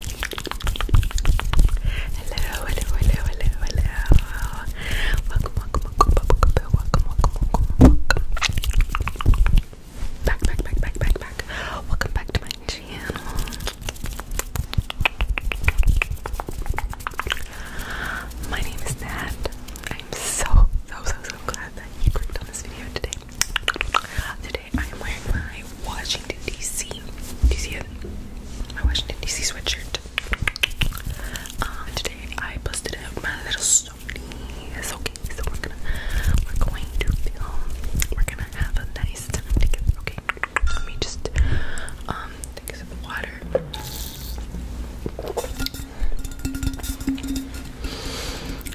Hello, hello, hello, hello, hello. Welcome, welcome, welcome, welcome, welcome, welcome, welcome, Back, back, back, back, back, back. Welcome back to my channel. My name is Nat. I'm so, so, so, so glad that you clicked on this video today. Today I am wearing my Washington DC. Do My Washington DC sweatshirt. Um, today I busted out my little Sony. okay, so we're gonna we're going to film. We're gonna have a nice time together. Okay, let me just um, take a water.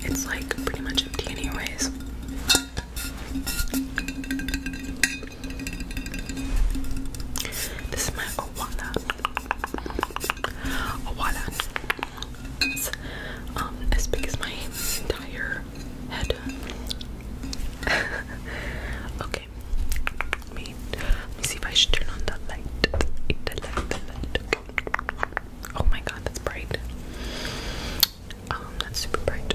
It's like pretty much empty anyways. This is my Owala. Owala. It's um, as big as my entire head. okay. me, let me see if I should turn on that light. The light, the light. Oh my god, that's bright. Oh, that's super bright.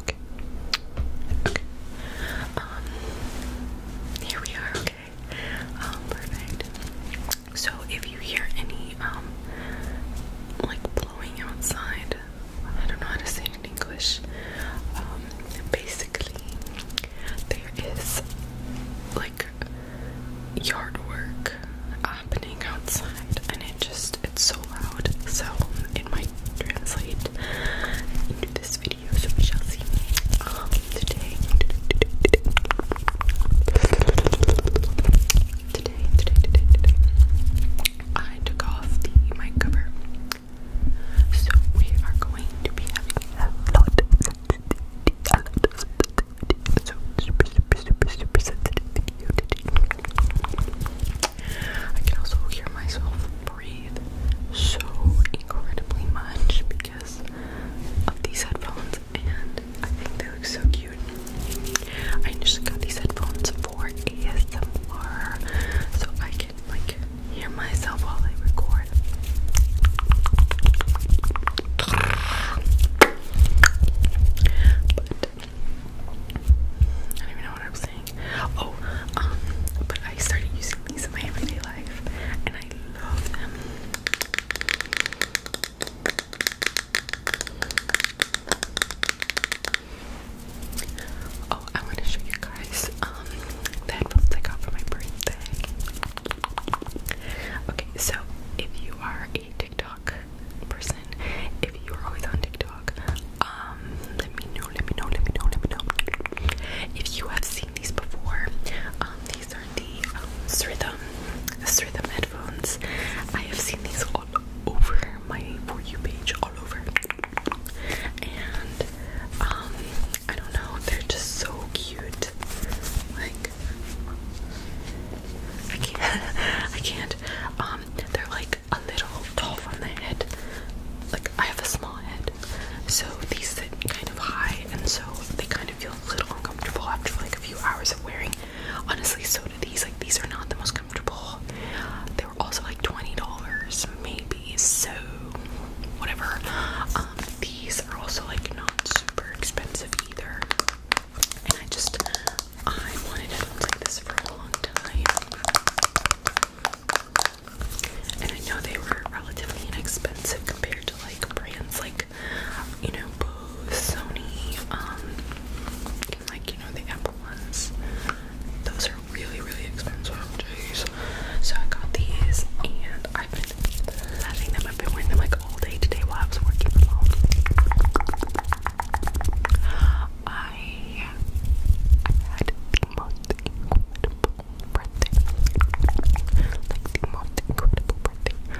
Okay. Okay. Um, here we are, okay. Um, perfect. So if you hear any, um, like blowing outside, I don't know how to say it in English. Um, basically, there is like yard work happening outside and it just it's so loud so it might translate into this video so we shall see um today today today today I took off the mic cover so we are going to be having a lot I so can also hear myself breathe so incredibly much because of these headphones, and I think they look so cute. I initially got these headphones for ASMR, so I can like hear myself while I record. I don't even know what I'm saying. Oh, um, but I started using these in my everyday life and I love them. Oh, I want to show you guys um the headphones I got for my birthday. Okay, so if you are a TikTok person, if you're always on TikTok, um, let me know, let me know, let me know, let me know. If you have seen these before, um, these are the um, Sridham, headphones. I have seen these all over my For You page, all over. And um, I don't know, they're just so cute. Like I can't I can't. Um they're like a little tall from the head. Like I have a small head. So these sit kind of high and so they kind of feel a little uncomfortable after like a few hours of wearing. Honestly, so do these. Like these are not the most comfortable. They were also like $20 maybe. So whatever. Um these are also like not super expensive either. And I just I wanted headphones like this for a long time. And I know they were relatively inexpensive compared to like brands like you know Bose, Sony, um and like you know the Apple ones. Those are really really expensive. Jeez. So I got these and I've been loving them. I've been wearing them like all day today while I was working I I had the most incredible birthday. Like the most incredible birthday.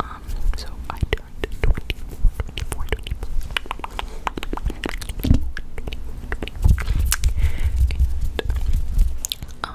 Um, so I turned 24, um,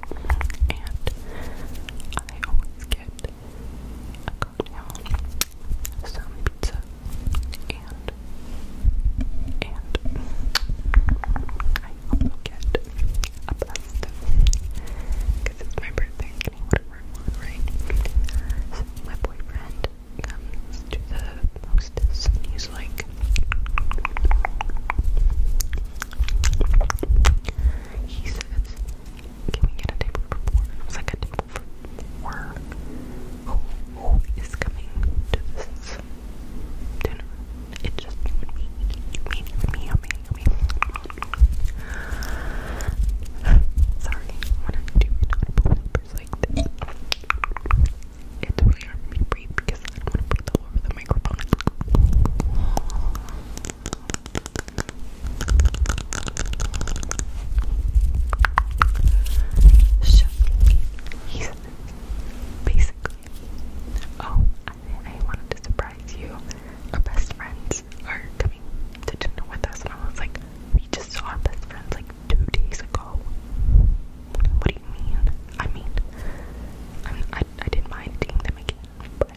and I always get a cocktail, some pizza, and and I also get a pasta because it's my birthday. whatever right? So my boyfriend comes the hostess he's like he says, Can we get a table for four? And like, A table for four? who is coming to this dinner? It's just me, me, me, me, me, me. Sorry, when I do not pull numbers like this, it's really hard to breathe because. I don't want to breathe all over the microphone. So he's basically oh, I, I wanted to surprise you. Our best friends are coming to dinner with us, and I was like, we just saw our best friends like two days ago. What do you mean? I mean, I I didn't mind seeing them again but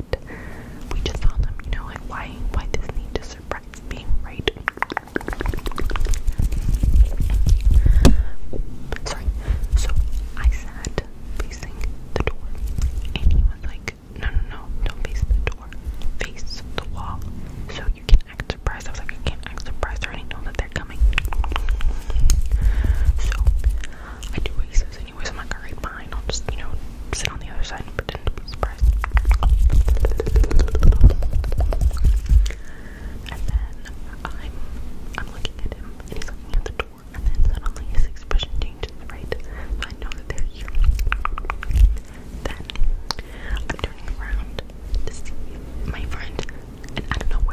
we just saw them, you know, like why why Disney to surprise me, right? sorry. So I sat facing the door and he was like, No no no, don't face the door. Face the wall. So you can act surprised. I was like, I can't act surprised, I already know that they're coming. So I do what he says he was like, alright, fine, I'll just, you know, sit on the other side and pretend to be surprised. And then I'm looking at him and he's looking at the door and then suddenly his expression changes, right? I know that they're here. Then I'm turning around to see my friend and I don't know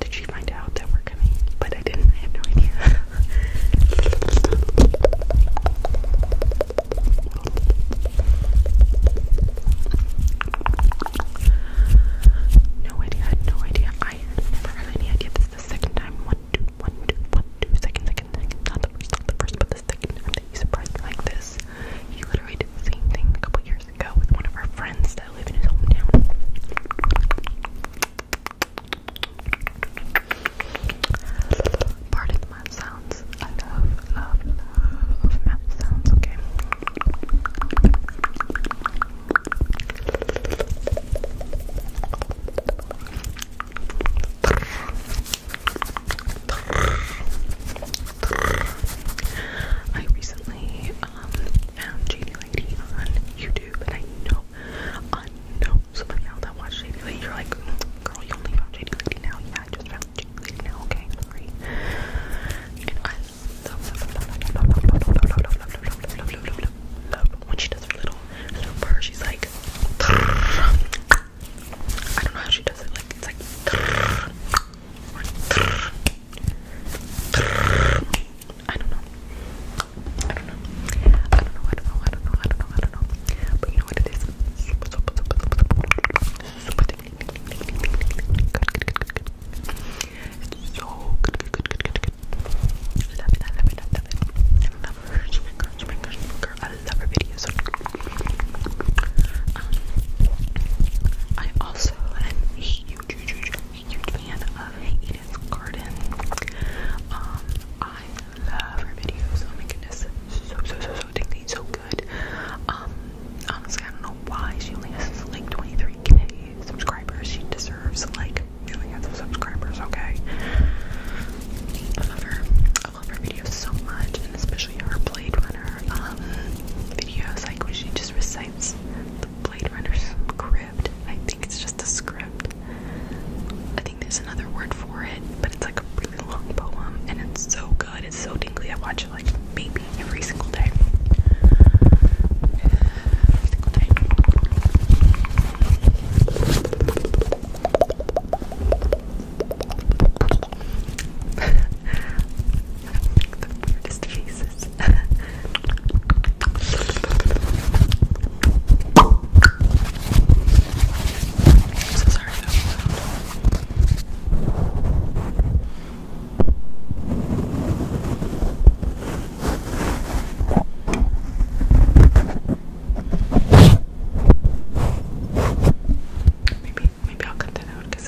Did she find out that we're coming? But I didn't. I have no idea. no idea. no idea. I never had any idea. This the second time. One, two, one, two, one, two. Second, second, second. Not the first, not the first, but the second time that you surprised me like this. You literally did the same thing a couple years years with one of our friends that live in his hometown. Pardon sounds. I love, love, love sounds, okay? I recently um, found Shady Lady on YouTube, and I know, I know somebody else that watched Shady Lady. You're like, mm, girl, you only found Shady Lady now? Yeah, I just found Shady Lady now. Okay, I'm sorry. And I love, love when she does her little for She's like, I don't know how she does it. Like, it's like. Or, I don't know. I don't know. I don't know. I don't know. I don't know. I don't know. I don't know. But you know what it is? so good, I love her. videos. I also huge fan of Eden's Garden. Um, I love her videos. Oh my goodness, so so so so so good. Um, honestly, I don't know why she only has like 23k subscribers. She deserves like millions of subscribers. Okay, I love her. I love her videos so much, and especially her Blade Runner um videos, like when she just recites the Blade Runner script. I think it's just a script. I think there's another word for it, but it's like a really long poem and it's so good. It's so tingly. I watch it like maybe every single day. Every single day. the weirdest faces. I'm so sorry Maybe, maybe I'll cut because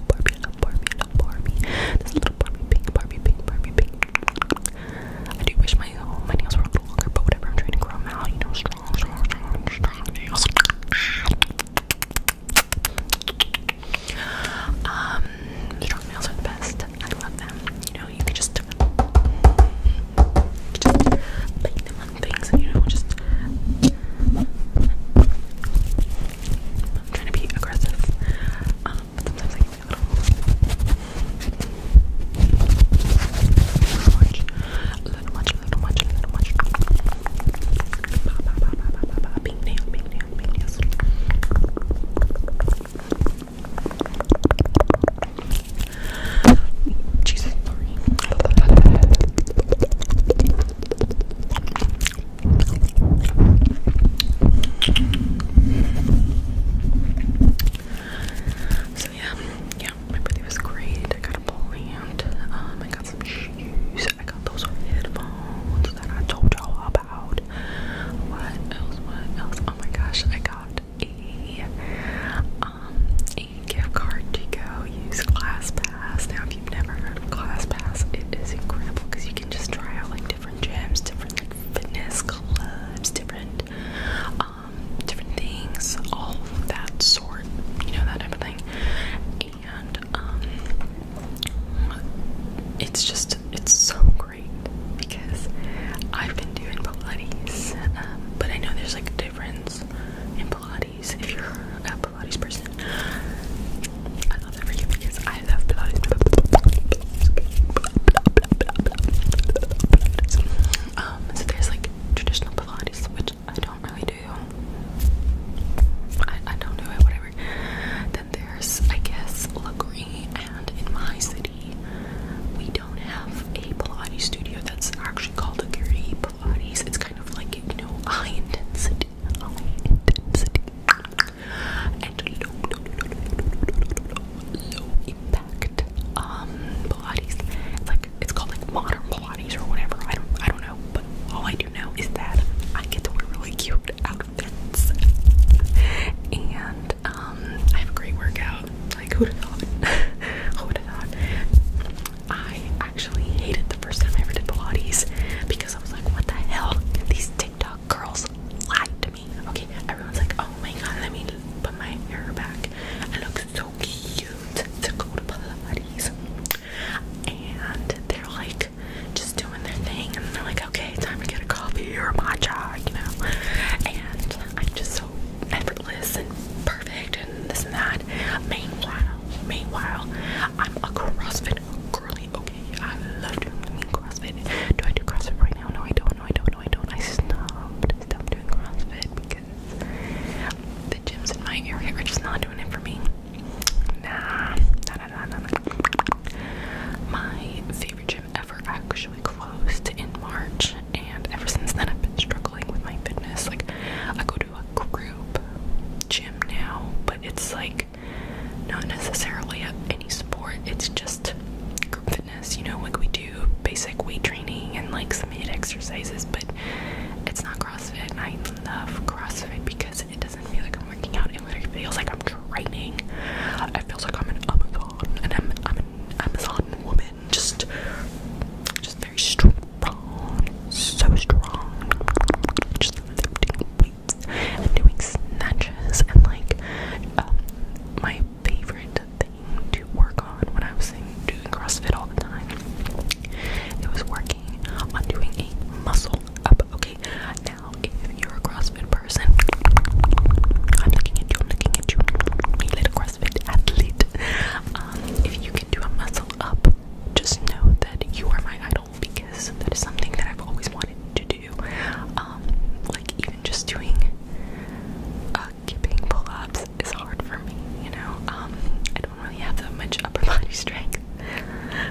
love Barbie, I love Barbie, I love Barbie. This little Barbie pink, Barbie pink, Barbie pink. I do wish my oh, my nails were a little longer, but whatever. I'm trying to grow them out, you know, strong, strong, strong, strong nails. Um, strong nails are the best. I love them. You know, you can just, just bake them on things, and you know, just I'm trying to be aggressive. Um, sometimes I can a little much. little much, little much, little much. Pink nail, pink nail, pink nails. Jesus, so yeah, yeah, my birthday was great. I got a plant. Um, I got some shoes. I got those headphones that I told y'all about. What else? What else? Oh my gosh, I got a um a gift card to go use ClassPass. Now you've never heard of ClassPass, it is incredible because you can just try out like different gyms, different like fitness clubs, different um different things, all of that sort, you know, that type of thing. And um it's just it's so great because I've been doing Pilates, um, but I know there's like a difference in Pilates if you're Pilates person. I love that for you because I love Pilates. Um, so there's like traditional Pilates, which I don't really do. I, I don't do it, whatever. Then there's, I guess, Lagree, and in my city, we don't have a Pilates studio that's actually called Legree Pilates. It's kind of like, you know, high intensity intensity, high intensity, and low, low, low, low, low impact um, Pilates. It's like it's called like modern Pilates or whatever. I don't, I don't know. But all I do know is that I get to wear really cute outfits, and um, I have a great workout. Like who'd have thought? who'd have thought? I actually hated the first time I ever did Pilates because I was like, what the hell? These TikTok girls lied to me. Okay, everyone's like, oh my god, let me put my hair back. I look so cute to go to Pilates. And they're like just doing their thing and they're like, okay, time to get a coffee or a matcha, you know. And I'm just so effortless and perfect and this and that. Meanwhile, meanwhile, I'm a CrossFit curly. Okay, I love doing I mean, CrossFit. Do I do CrossFit right now? No, I don't. No, I don't. No, I don't. I stopped. I stopped doing CrossFit because the gyms in my area are just not doing it for me. Nah, nah, nah, nah, nah. My favorite gym ever actually closed in March, and ever since then I've been struggling with my fitness. Like, I go to a group group gym now, but it's like not necessarily any sport, it's just group fitness, you know, like we do basic weight training and like some hit exercises, but it's not CrossFit. And I love CrossFit because it doesn't feel like I'm working out, it literally feels like I'm training. It feels like I'm an Amazon and I'm I'm an Amazon woman, just just very strong so strong. doing snatches and like um, my favorite thing to work on when I was doing CrossFit all the time. It was working on doing a muscle up. Okay, now if you're a CrossFit person, I'm looking at you. I'm looking at you. Me little CrossFit athlete. Um, if you can do a muscle up, just know that you are my because that is something that I've always wanted to do. Um, like even just doing uh, pull-ups is hard for me, you know. Um, I don't really have that much upper body strength,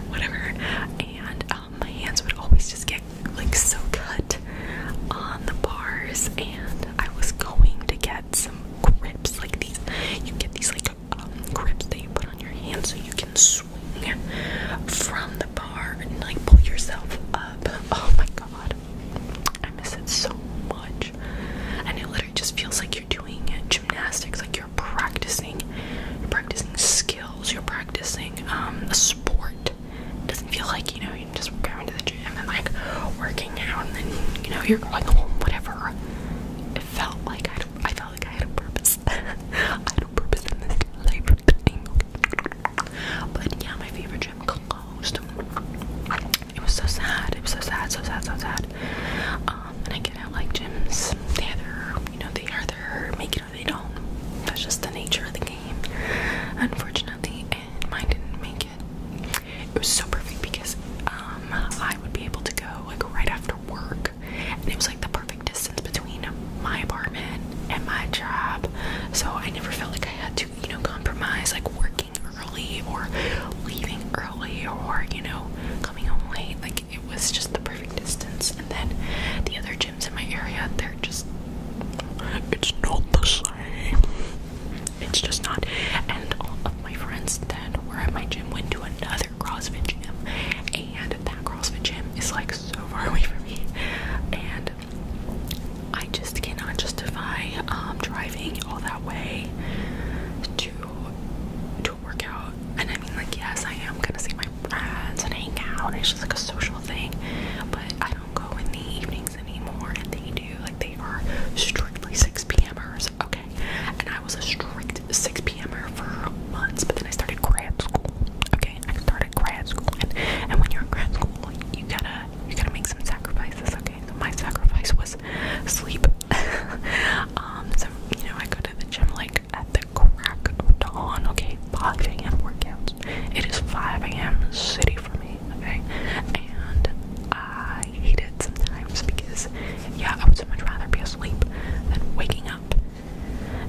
whatever. And um, my hands would always just get like so cut on the bars, and I was going to get some grips like these. You get these like um, that you put on your hand so you can swing from the bar and like pull yourself up. Oh my god, I miss it so much. And it literally just feels like you're doing gymnastics, like you're practicing, you're practicing skills, you're practicing um, a sport. It doesn't feel like you know you're just going to the gym and like working out and then you know you're going home, whatever. It felt like I, I felt like I had a purpose. I had a purpose in this life But yeah, my favorite gym closed. It was so sad. It was so sad, so sad, so sad. Um, and I get out like gyms, they are, you know, they either make it or they don't. That's just the nature of the game, unfortunately. And mine didn't make it. It was so perfect because um, I would be able to go like right after work, and it was like the perfect distance between my apartment and my job. So I never felt like I had to, you know, compromise like working early or leaving early or, you know, coming home late. Like it was just the perfect distance. And then the other gyms in my area, they're just, it's not the same. It's just not. And my friends that were at my gym went to another CrossFit gym, and that CrossFit gym is like so far away from me, and I just cannot justify um, driving all that way to to work out. And I mean, like, yes, I am gonna see my friends and hang out. It's just like a social thing, but I don't go in the evenings anymore, and they do. Like, they are strictly 6 p.m.ers. Okay. And I was a strict 6 p.m.er for months, but then I started grad school, okay? I started grad school, and, when you're in grad school, you gotta you gotta make some sacrifices, okay? my sacrifice was sleep. um, so you know I go to the gym like at the crack of dawn, okay? 5 a.m. workouts. It is 5 a.m. city for me, okay? And I hate it sometimes because, yeah, I would so much rather be asleep than waking up.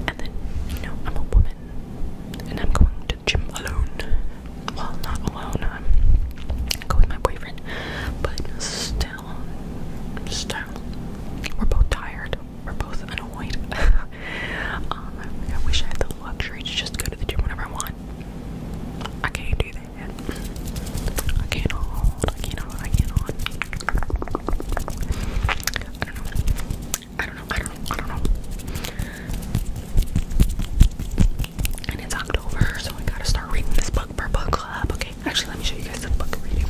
And then, you know, I'm a woman and I'm going to the gym alone. Well, not alone, I'm going go with my boyfriend, but still, still, we're both tired, we're both annoyed. Um, I wish I had the luxury to just go to the gym whenever I want. I can't do that. I can't hold, I can't hold, I can't hold. I don't know. I don't know, I don't know, I don't know. And it's October, so I gotta start reading this book per book club. Okay, actually, let me show you guys the book reading.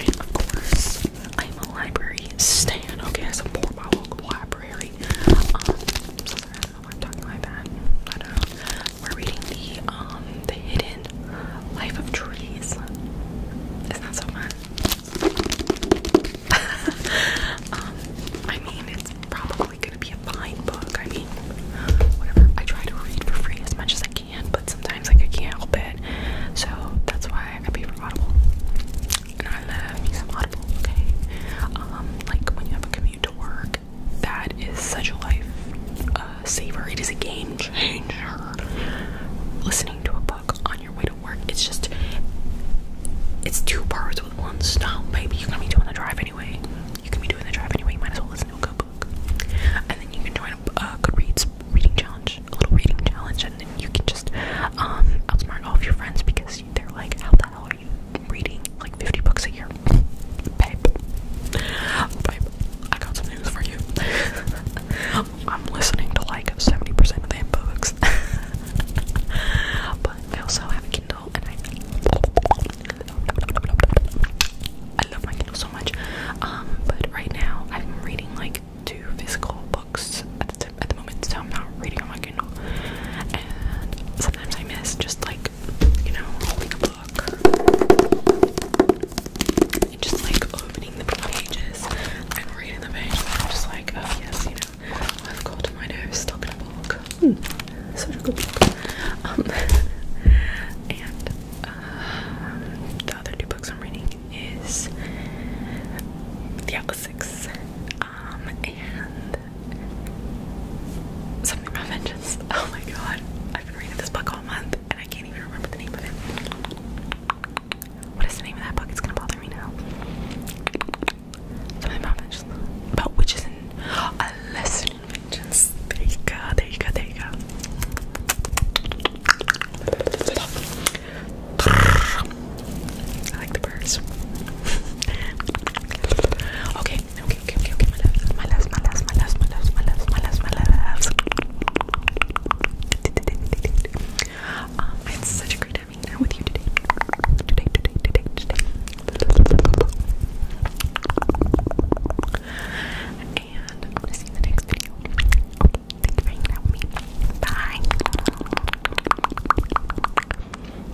And of course, I'm a library stan. Okay, I support my local library. Um, I'm talking like that. I don't know. We're reading the um the hidden life of trees. Isn't so fun? um, I mean, it's probably gonna be a fine book. I mean, whatever. I try to read for free as much as I can, but sometimes like I can't help it. So that's why I pay for Audible. And I love me Audible. Okay. Um, like when you have a commute to work that is such a life uh, saver. It is a game changer. Listening to a book on your way to work, it's just it's two parts with one stone, baby. You're gonna be doing the drive anyway. You can be doing the drive anyway. You might as well listen to a good book, and then you can join a uh, Goodreads reading challenge, a little reading challenge, and then you can just um outsmart all of your friends because they're like, how the hell reading like 50 books a year? Babe. I got some news for you. I'm listening to like 70% of them books. but I also have Kindle and I love my Kindle so much. Um, but right now I'm reading like two physical books at the, at the moment, so I'm not reading on my Kindle. And sometimes I miss just like like, you know, holding a book just like opening the pages and reading the pages. I'm just like, oh yes, you know, I've got my nose stuck in a book. Hmm. such a good book. Um, and uh, the other two books I'm reading is The Atlas Six. Um, and something about vengeance. Oh my god, I've been reading this book all month and I can't even remember the name of it. What is the name of that book? It's gonna bother me now. Something about vengeance. About witches a lesson in vengeance. There you go, there you go, there you go. I like the birds. okay, Okay, um, I such a great time with you today. Today, today, today, today. And I'm gonna see you in the next video. Okay, thank you for hanging with me. Bye.